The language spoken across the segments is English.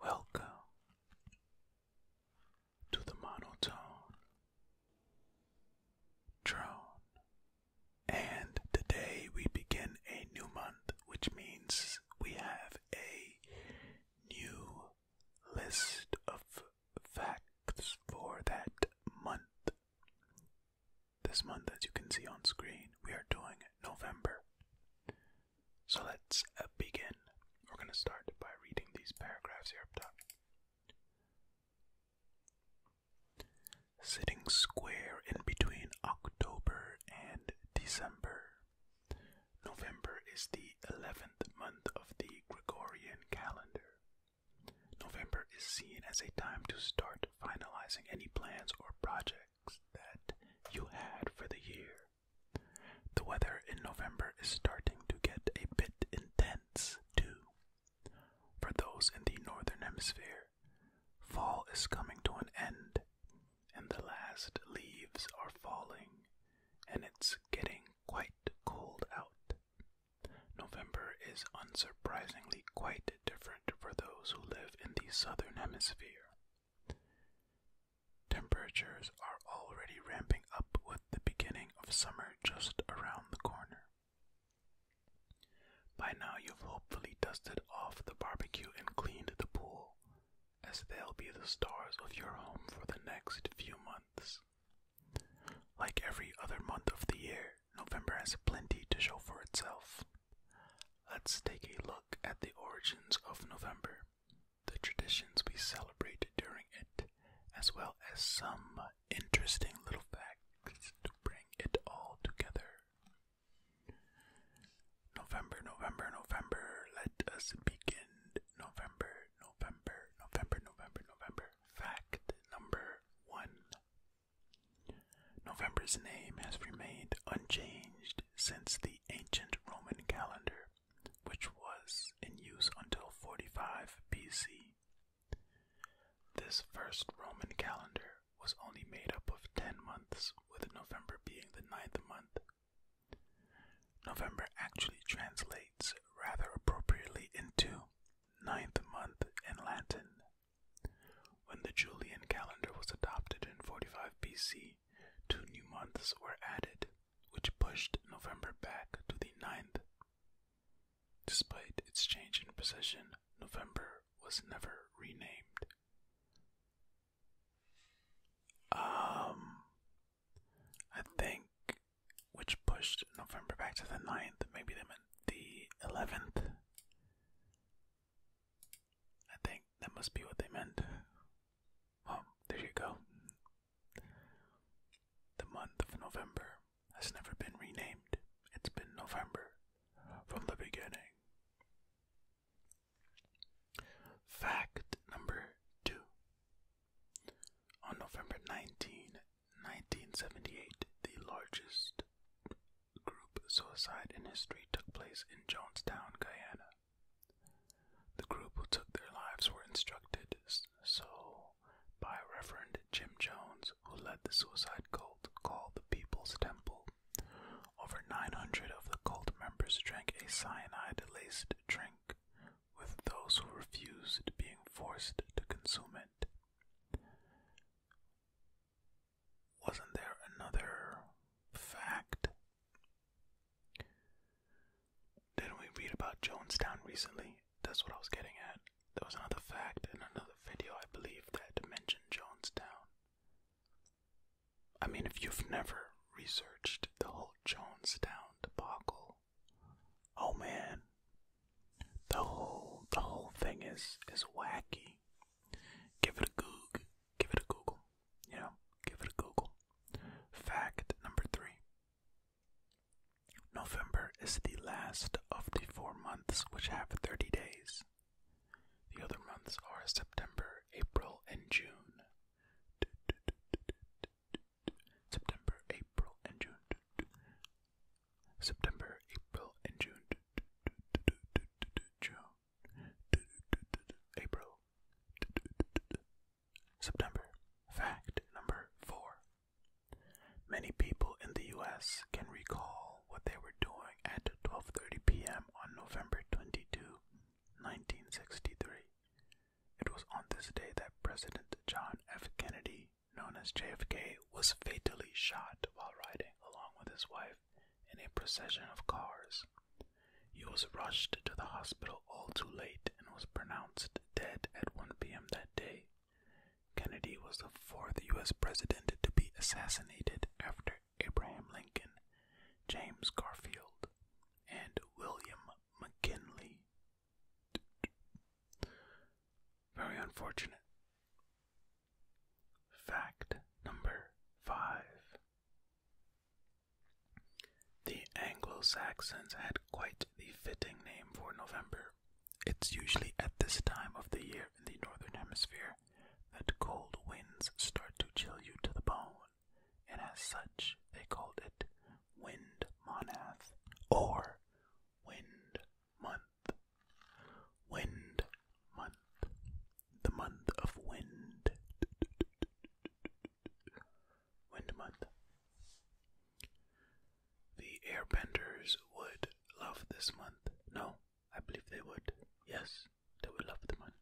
Welcome to the monotone drone. And today we begin a new month, which means we have a new list of facts for that month. This month, as you can see on screen, we are doing November. So let's uh, begin. We're going to start by reading these paragraphs here up top. Sitting square in between October and December November is the 11th month of the Gregorian calendar. November is seen as a time to start finalizing any plans or projects that you had for the year. The weather in November is starting to get a bit intense, too. For those in the northern hemisphere, fall is coming to an end, and the last leaves are falling, and it's getting quite cold out. November is unsurprisingly quite different for those who live in the southern hemisphere. Temperatures are already ramping up with the beginning of summer just around the corner. By now, you've hopefully dusted off the barbecue and cleaned the pool, as they'll be the stars of your home for the next few months. Like every other month of the year, November has plenty to show for itself. Let's take a look at the origins of November, the traditions we celebrate during it, as well as some interesting little facts to bring it all together. November, November, November, let us begin November November, November, November, November. Fact number one November's name has remained unchanged since the ancient Roman calendar, which was in use until 45 BC. This first Roman calendar was only made up of 10 months, with November being the ninth month November actually translates rather appropriately into ninth month in Latin. When the Julian calendar was adopted in 45 BC, two new months were added, which pushed November back to the ninth. Despite its change in position, November was never renamed. Um, I think, which pushed November back to the 9th. Maybe they meant the 11th. I think that must be what they meant. Well, there you go. The month of November has never been renamed, it's been November from the beginning. Fact number two on November 19, 1978, the largest group suicide in history took place in Jonestown, Guyana. The group who took their lives were instructed so by Reverend Jim Jones, who led the suicide cult called the People's Temple. Over 900 of the cult members drank a cyanide laced drink with those who refused being forced to consume it. Wasn't there another fact? Didn't we read about Jonestown recently? That's what I was getting at. There was another fact in another video, I believe, that mentioned Jonestown. I mean, if you've never researched the whole Jonestown debacle, Oh man. The whole the whole thing is is wacky. Give it a goog. Give it a Google. You know, give it a Google. Fact number three. November is the last of the four months which have 30 days. The other months are September, April, and June. September, April, and June. September, April, and June. June. April. September. Fact number four. Many people in the US can recall what they were doing at 12:30 p.m. on November 22, 1963. It was on this day that President John F. Kennedy, known as JFK, was fatally shot while riding along with his wife in a procession of cars. He was rushed to the hospital all too late and was pronounced dead at 1 p.m. that day. Kennedy was the fourth U.S. president to be assassinated after Abraham Lincoln, James Garfield, and William McKinley very unfortunate. Fact number five. The Anglo Saxons had quite the fitting name for November. It's usually at this time of the year in the northern hemisphere that cold winds start to chill you to the bone and as such they called it Wind Monath or Wind Month. Wind Month. The month of wind. Wind Month. The airbenders would love this month. No, I believe they would. Yes, they would love the month.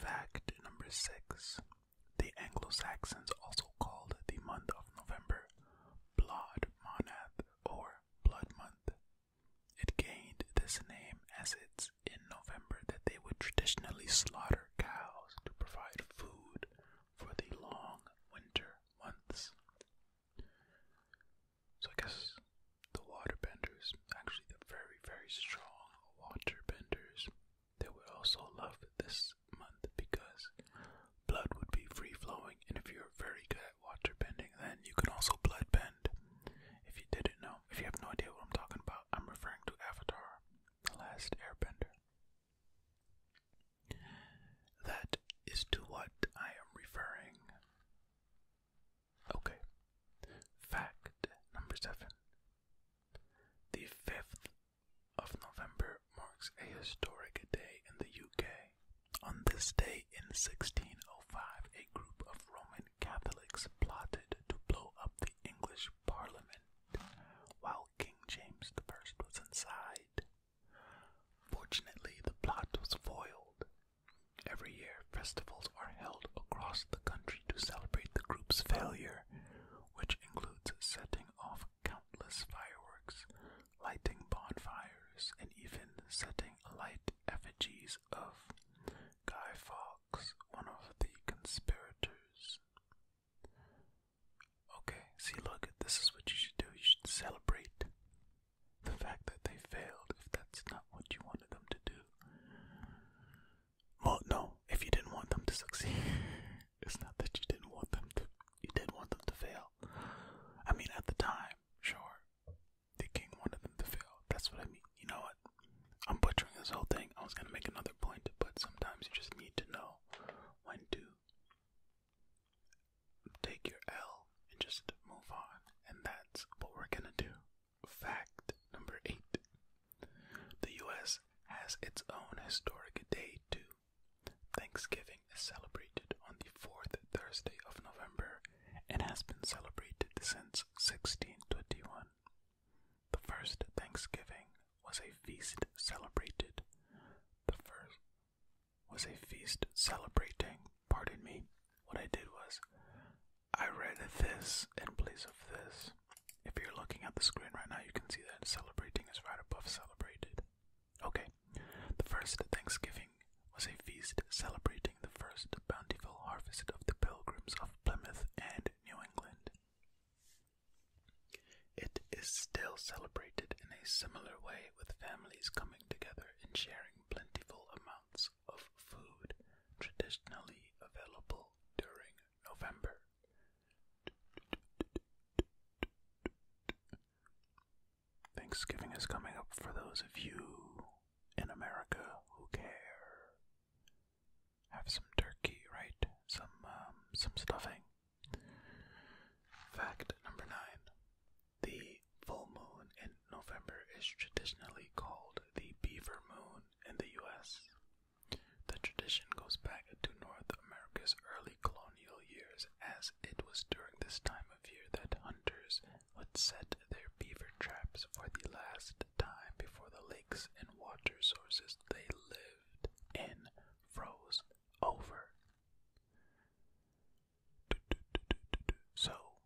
Fact number six The Anglo Saxons also called the month of November Blood Monath or Blood Month. It gained this name as it's in November that they would traditionally slaughter cows to provide food for the long winter months. So I guess the water benders, actually the very, very strong water benders, they would also love this month because blood would be free flowing, and if you're very good at water bending, then you can also blood bend. If you didn't know, if you have no idea what I'm talking about, I'm referring to Avatar, the last airbender. That is to what I am referring. Okay. Fact number seven. The 5th of November marks a historic day in the UK. On this day in 1605, a group of Roman Catholics plotted to blow up the English Parliament while King James the First was inside. Fortunately, the plot was foiled, Every year, festivals are held across the country to celebrate the group's failure, which includes setting off countless fireworks, lighting bonfires, and even setting light effigies of Guy Fawkes, one of the conspirators. Okay, see, look, this is what you should do. You should celebrate the fact that they failed if that's not what you wanted them to do. Well, no, if you didn't want them to succeed, it's not that you didn't want them to, you did want them to fail. I mean, at the time, sure, the king wanted them to fail. That's what I mean. You know what? I'm butchering this whole thing. I was gonna make another point, but sometimes you just need to know when to take your L and just move on, and that's what we're gonna do. Fact number eight The U.S. has its own historic day, too. Thanksgiving is celebrated on the fourth Thursday of November and has been celebrated since 1621. The first Thanksgiving was a feast celebrated. The first was a feast celebrating. Pardon me. What I did was I read this in place of this. If you're looking at the screen right now, you can see that celebrating is right above celebrated. Okay, the first Thanksgiving was a feast celebrating the first bountiful harvest of the pilgrims of Plymouth and New England. It is still celebrated in a similar way with families coming together and sharing plentiful amounts of food traditionally available during November. Thanksgiving is coming up for those of you in America who care. Have some turkey, right? Some um, some stuffing. Fact number nine: the full moon in November is traditionally called the Beaver Moon in the U.S. The tradition goes back to North America's early colonial years, as it was during this time of year that hunters would set their beaver traps for the last time before the lakes and water sources they lived in froze over. So,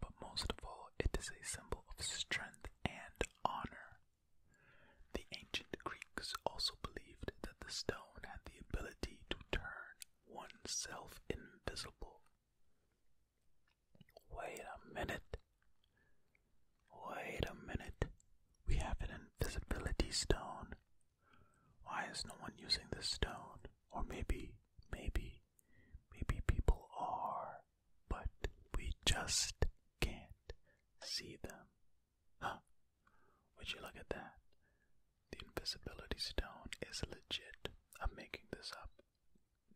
but most of all, it is a symbol of strength and honor. The ancient Greeks also believed that the stone had the ability to turn oneself invisible. Wait a minute. Wait a minute. We have an invisibility stone. Why is no one using this stone? Or maybe, maybe Maybe people are, but we just can't see them. Huh? Would you look at that? The invisibility stone is legit. I'm making this up.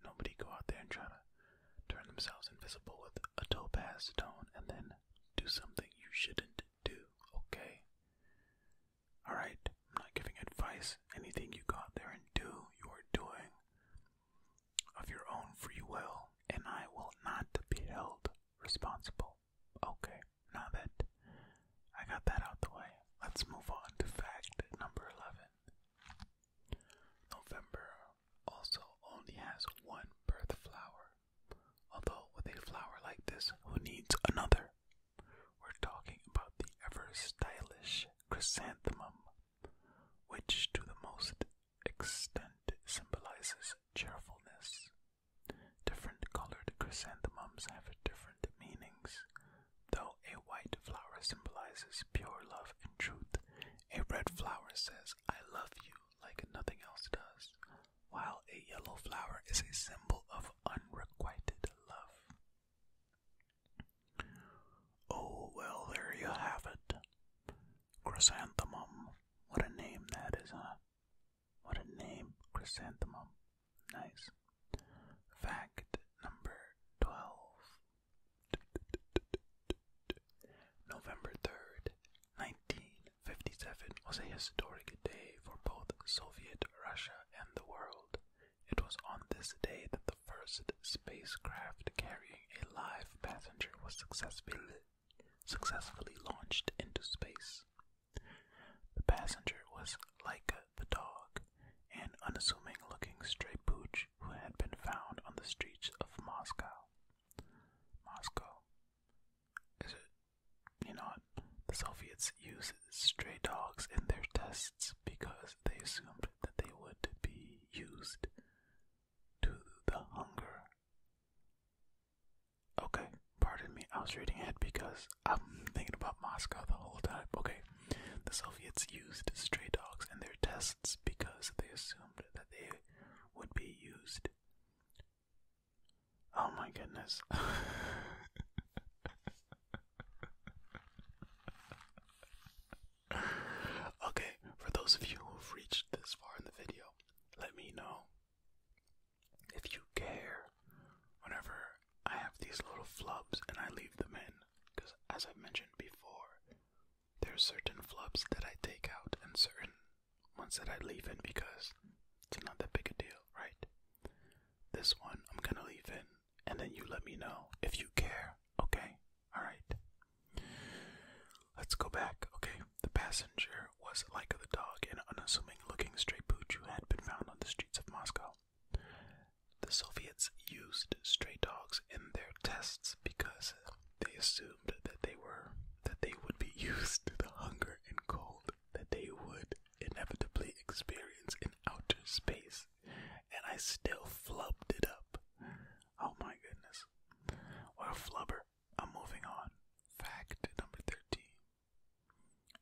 Nobody go out there and try to turn themselves invisible with a topaz stone and then do something you shouldn't do, okay? Alright, I'm not giving advice. Anything you go out there and do, you are doing of your own free will, and I will not be held responsible. Okay, now that I got that out the way, let's move on to fact number 11. November also only has one birth flower. Although, with a flower like this, who needs another? We're talking about the ever stylish chrysanthemum, which to the most extent symbolizes cheerfulness. Different colored chrysanthemums have different meanings. Though a white flower symbolizes pure love and truth, a red flower says, I love you like nothing else does, while a yellow flower is a symbol of unrequited love. Oh, well, there you have it. Chrysanthemum. What a name that is, huh? What a name, Chrysanthemum. Nice. Fact number 12. November 3rd, 1957 was a historic day for both Soviet Russia and the world. It was on this day that the first spacecraft carrying a live passenger was successfully, successfully launched into space. The passenger was Laika the dog, an unassuming looking stray pooch who had been found on the streets of Moscow. Moscow. Is it? You know, the Soviets use stray dogs in their tests because they assumed that they would be used to the hunger. Okay, pardon me, I was reading it because I'm thinking about Moscow the whole time. Okay, the Soviets used stray dogs in their tests because they assumed that they would be used. Oh my goodness. okay, for those of you who've reached this far in the video, let me know if you care whenever I have these little flubs and I leave them in. Because, as i mentioned before, there are certain flubs that I take out and certain ones that I leave in because it's not that big a deal, right? This one I'm gonna leave in and then you let me know if you care. Okay? Alright. Let's go back. Okay. The passenger was like a dog, an unassuming looking stray pooch who had been found on the streets of Moscow. The Soviets used stray dogs in their tests because they assumed that they were that they would be used to the hunger and cold that they would inevitably experience in outer space and I still flubbed it up. Oh my goodness. What a flubber. I'm moving on. Fact number 13.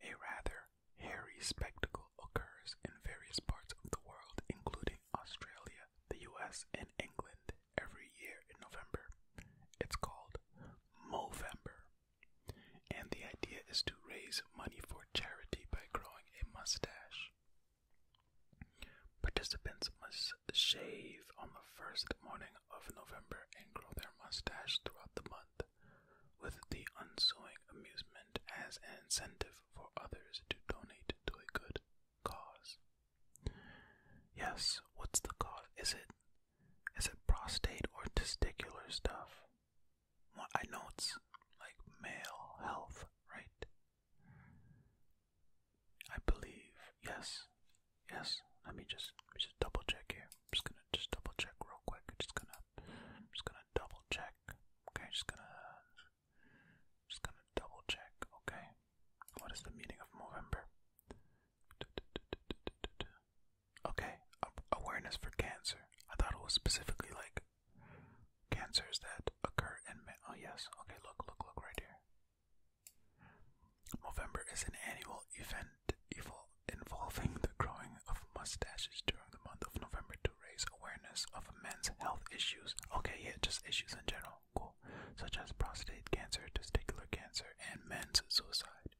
A rather hairy spectacle occurs in various parts of the world, including Australia, the US, and England, every year in November. It's called Movember. And the idea is to raise money for charity by growing a mustache. Participants must shave on the first morning of November and grow their mustache throughout the month, with the ensuing amusement as an incentive for others to donate to a good cause. Yes, what's the cause? Is it is it prostate or testicular stuff? I know it's like male health, right? I believe yes, yes. Let me just let me just double check here. I'm just gonna just double check real quick. I'm just gonna I'm just gonna double check. Okay, just gonna just gonna double check. Okay, what is the meaning of November? Okay, awareness for cancer. I thought it was specifically like Cancers that occur in men. Oh, yes. Okay, look, look, look right here. November is an annual event involving the growing of mustaches during the month of November to raise awareness of men's health issues. Okay, yeah, just issues in general. Cool. Such as prostate cancer, testicular cancer, and men's suicide.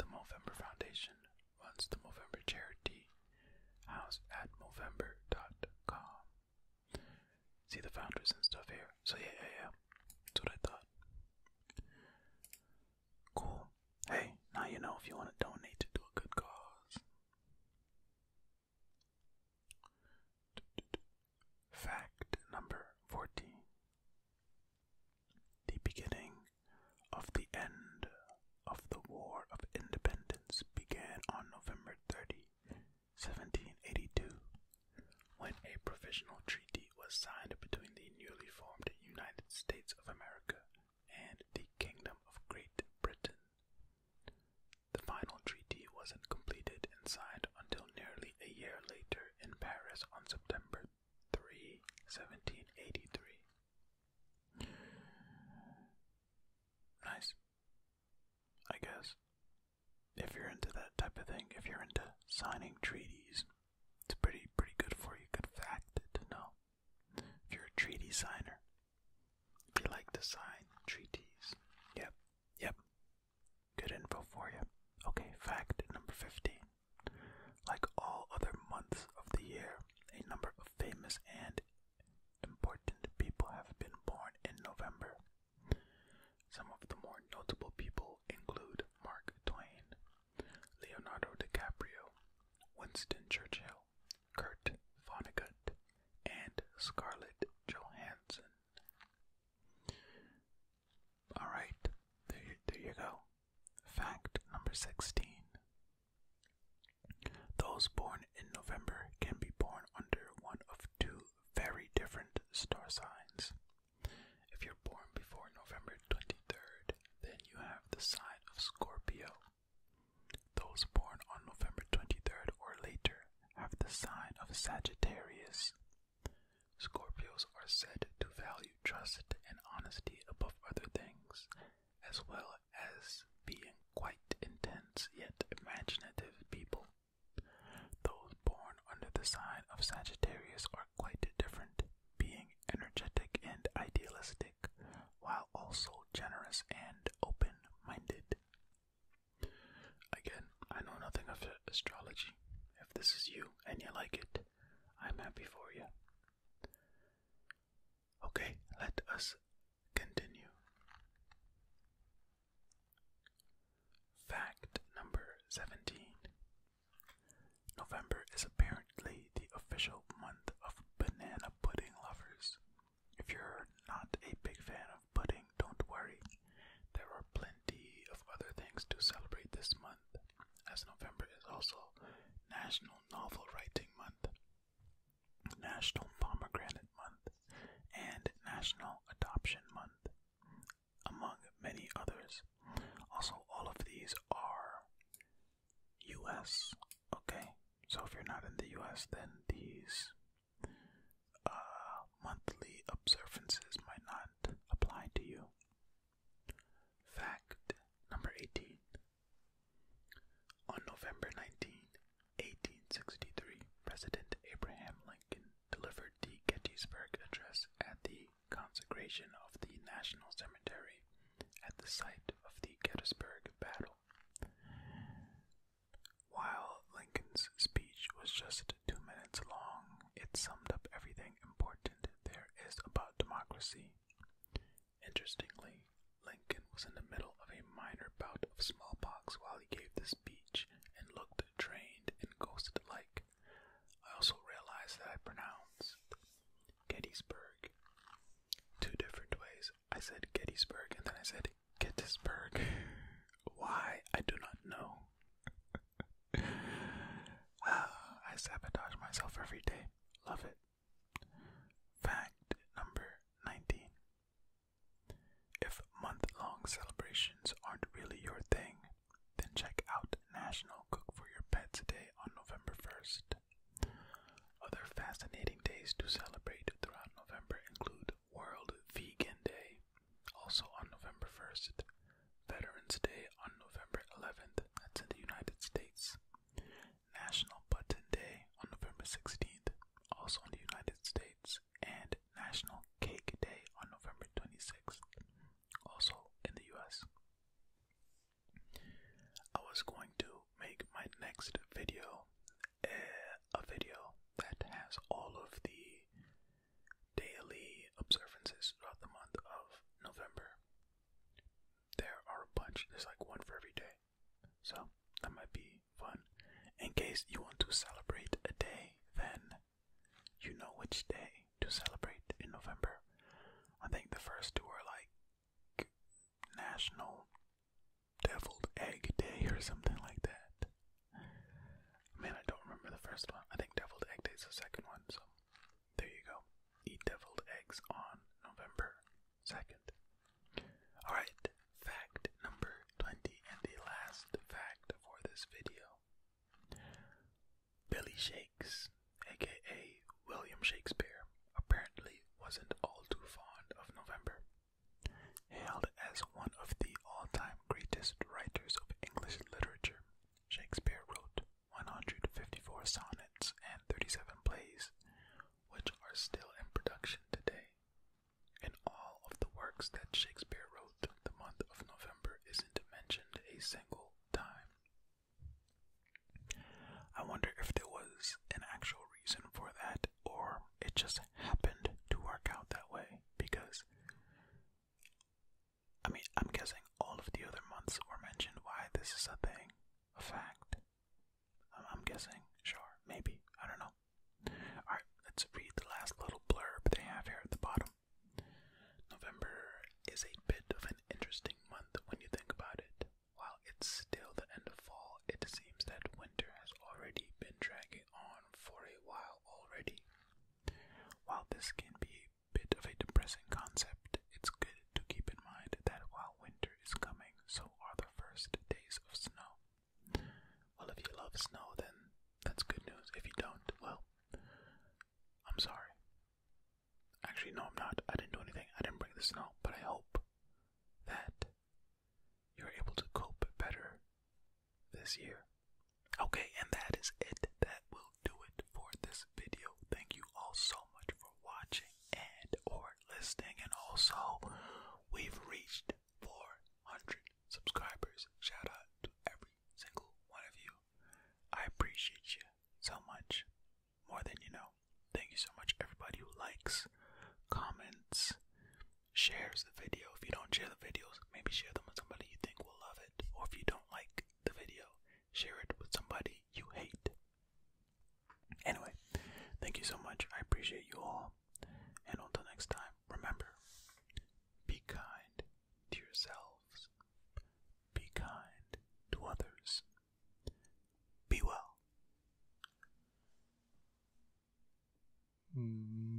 the Movember Foundation once the Movember charity house at Movember.com. See the founders and stuff here. So yeah, yeah, yeah. That's what I thought. Cool. Hey, now you know if you want to donate to do a good cause. Fact number 14. The beginning of the end of the War of Independence began on November 30, 1782, when a provisional treaty was signed between the newly formed United States of America and the Kingdom of Great Britain. The final treaty wasn't completed and signed until nearly a year later in Paris on September 3, 1783. Nice. I guess. If you're into that type of thing, if you're into signing treaties, it's pretty pretty good for you. Good fact to know. If you're a treaty signer, if you like to sign treaties. Yep, yep. Good info for you. Okay, fact number fifty. Like all other months of the year, a number of famous and important people have been born in November. Some of the more notable people include Mark Twain, Leonardo DiCaprio, Winston Churchill, Kurt Vonnegut, and Scarlett Johansson. Alright, there, there you go. Fact number 16 those born in November can be born under one of two very different star signs. If you're born before November 23rd, then you have the sign of Scorpio. Those born on November 23rd or later have the sign of Sagittarius. Scorpios are said to value trust and honesty above other things, as well as being quite intense yet imaginative people. Those born under the sign of Sagittarius are quite different, being energetic and idealistic, while also generous and open minded. Again, I know nothing of astrology. If this is you and you like it, I'm happy for you. Okay, let us Continue. Fact number 17 November is apparently the official month of banana pudding lovers. If you're not a big fan of pudding, don't worry. There are plenty of other things to celebrate this month, as November is also National Novel Writing Month. National Pomegranate Month, and National Adoption Month, among many others. Also, all of these are US, okay? So, if you're not in the US, then these uh, monthly observances might not apply to you. Fact number 18 on November 19, 1863, President Abraham Lincoln delivered the Gettysburg Address at the consecration of the National Cemetery at the site of the Gettysburg Battle. While Lincoln's speech was just two minutes long, it summed up everything important there is about democracy. Interestingly, Lincoln was in the middle of a minor bout of smallpox while he gave this speech and looked drained and ghosted like. I also realized that I pronounced Gettysburg two different ways. I said Gettysburg and then I said Gettysburg. Why? I do not know. Ah, I sabotage myself every day. Love it. Fact number 19. If month long celebrations aren't really your thing, then check out National Cook for Your Pets Day on November 1st. Other fascinating days to celebrate throughout November include World Vegan Day, also on November 1st, Veterans Day on November 11th, that's in the United States, National Button Day on November 16th, also in the United States, and National Cake Day on November 26th, also in the US. I was going to make my next video eh, a video that has all of the daily observances throughout the month of November. There are a bunch, there's like one for every day. So that might be fun. In case you want to celebrate a day, then you know which day to celebrate in November. I think the first two are like National Deviled Egg Day or something like that. Man, I don't remember the first one. I think Deviled Egg Day is the second one, so there you go. Eat deviled eggs on November second. Alright, fact number 20 and the last fact for this video. Billy Shakes, aka William Shakespeare, apparently wasn't all too fond of November. Hailed as one of the all time greatest writers of English literature, Shakespeare wrote 154 sonnets and 37 plays, which are still in production today. In all of the works that Shakespeare wrote, the month of November isn't mentioned a single time. I wonder if there was an actual reason for that, or it just happened to work out that way because. I mean, I'm guessing all of the other months were mentioned why this is a thing, a fact. I'm guessing. Sure. Maybe. I don't know. Alright, let's read the last little blurb they have here at the bottom. November is a bit of an interesting month when you think about it. While it's still the end of fall, it seems that winter has already been dragging on for a while already. While this can be a bit of a depressing concept, it's good to keep in mind that while winter is coming, so are the first days of snow. Well, if you love snow, then that's good news. If you don't, well, I'm sorry. Actually, no, I'm not. I didn't do anything. I didn't bring the snow, but I hope that you're able to cope better this year. Okay, and that is it. That will do it for this video. Thank you all so much for watching and or listening, and also we've reached 400 subscribers. Shout out to every single one of you. I appreciate you so much, more than you know. Thank you so much, everybody who likes, comments, shares the video. If you don't share the videos, maybe share them with somebody you think will love it, or if you don't like the video, share it with somebody you hate. Anyway, thank you so much. I appreciate you all. And until next time, remember be kind to yourselves, be kind to others, be well. Mm.